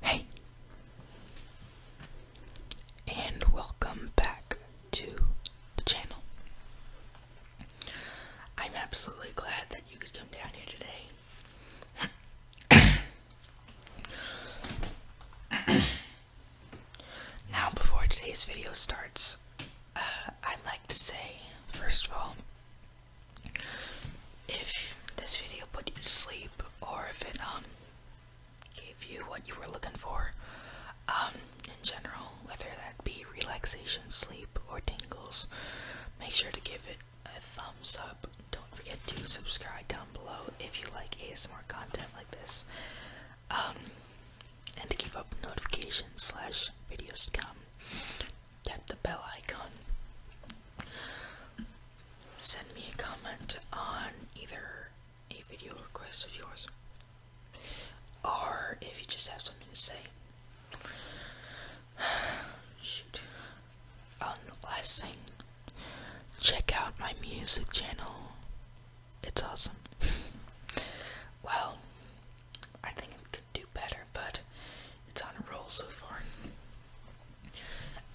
Hey, and welcome back to the channel. I'm absolutely glad that you could come down here today. now, before today's video starts, uh, I'd like to say, first of all, if this video put you to sleep or if it um gave you what you were looking for um in general whether that be relaxation sleep or tingles make sure to give it a thumbs up don't forget to subscribe down below if you like asmr content like this um and to keep up notifications slash videos to come tap the bell icon. Send me a comment on either a video request of yours or if you just have something to say. Shoot. Um, last thing, check out my music channel. It's awesome. well, I think do better, but it's on a roll so far.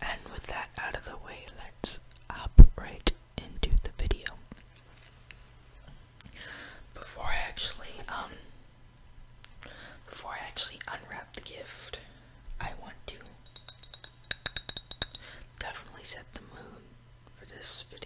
And with that out of the way, let's hop right into the video. Before I actually, um, before I actually unwrap the gift, I want to definitely set the mood for this video.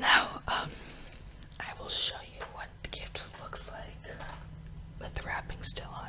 Now, um, I will show you what the gift looks like with the wrapping still on.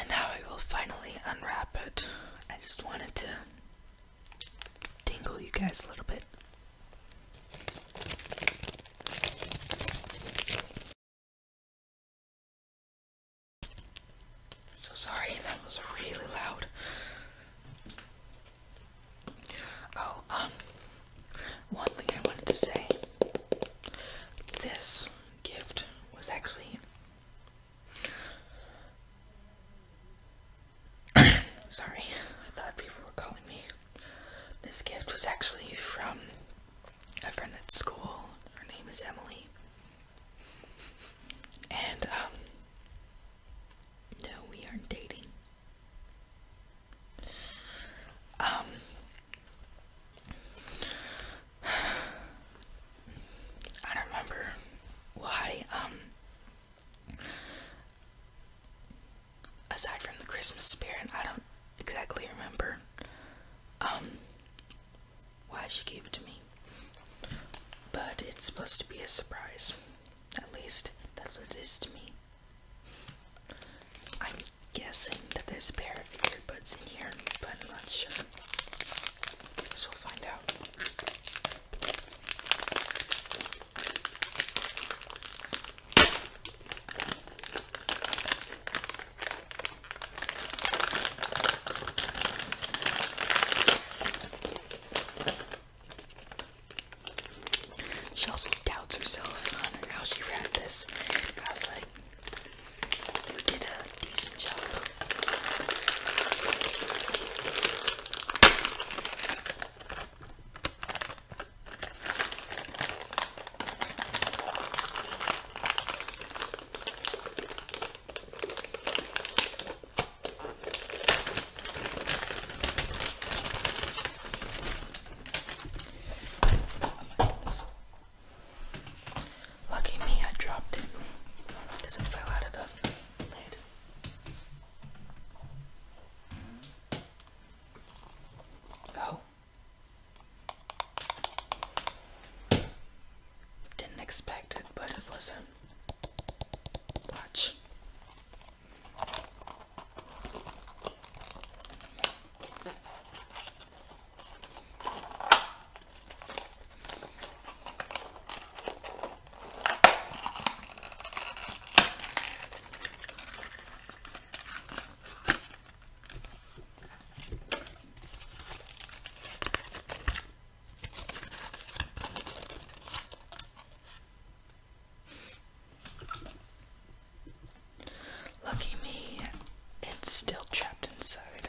And now I will finally unwrap it. I just wanted to dingle you guys a little bit. So sorry, that was really loud. Oh, um, one thing I wanted to say this gift was actually Sorry, I thought people were calling me. This gift was actually from a friend at school. Her name is Emily. And, um, no, we aren't dating. Um, I don't remember why, um, Aside from the Christmas spirit, I don't exactly remember um, why she gave it to me. But it's supposed to be a surprise. At least that's what it is to me. I'm guessing that there's a pair of earbuds in here, but I'm not sure. guess we'll find out. She also doubts herself on how she read this. I was like, you did a decent job. Lucky me, I dropped it because it fell out of the Oh. Didn't expect it, but it was a watch. Lucky me, it's still trapped inside.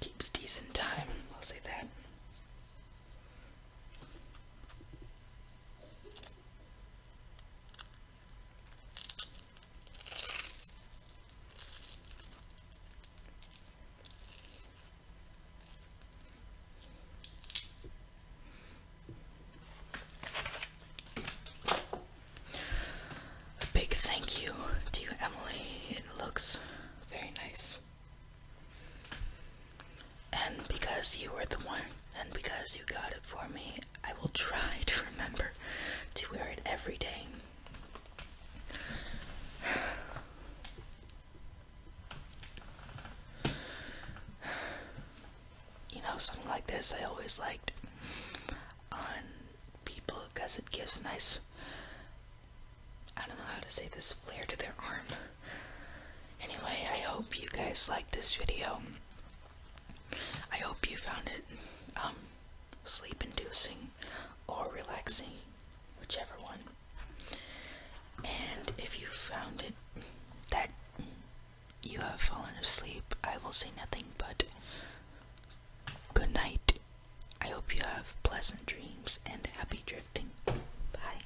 Keeps decent time, I'll say that. A big thank you to you, Emily. It looks very nice. And because you were the one, and because you got it for me, I will try to remember to wear it every day. You know, something like this I always liked on people because it gives a nice, I don't know how to say this, flair to their arm. Anyway, I hope you guys liked this video. I hope you found it um, sleep inducing or relaxing, whichever one. And if you found it that you have fallen asleep, I will say nothing but good night. I hope you have pleasant dreams and happy drifting. Bye.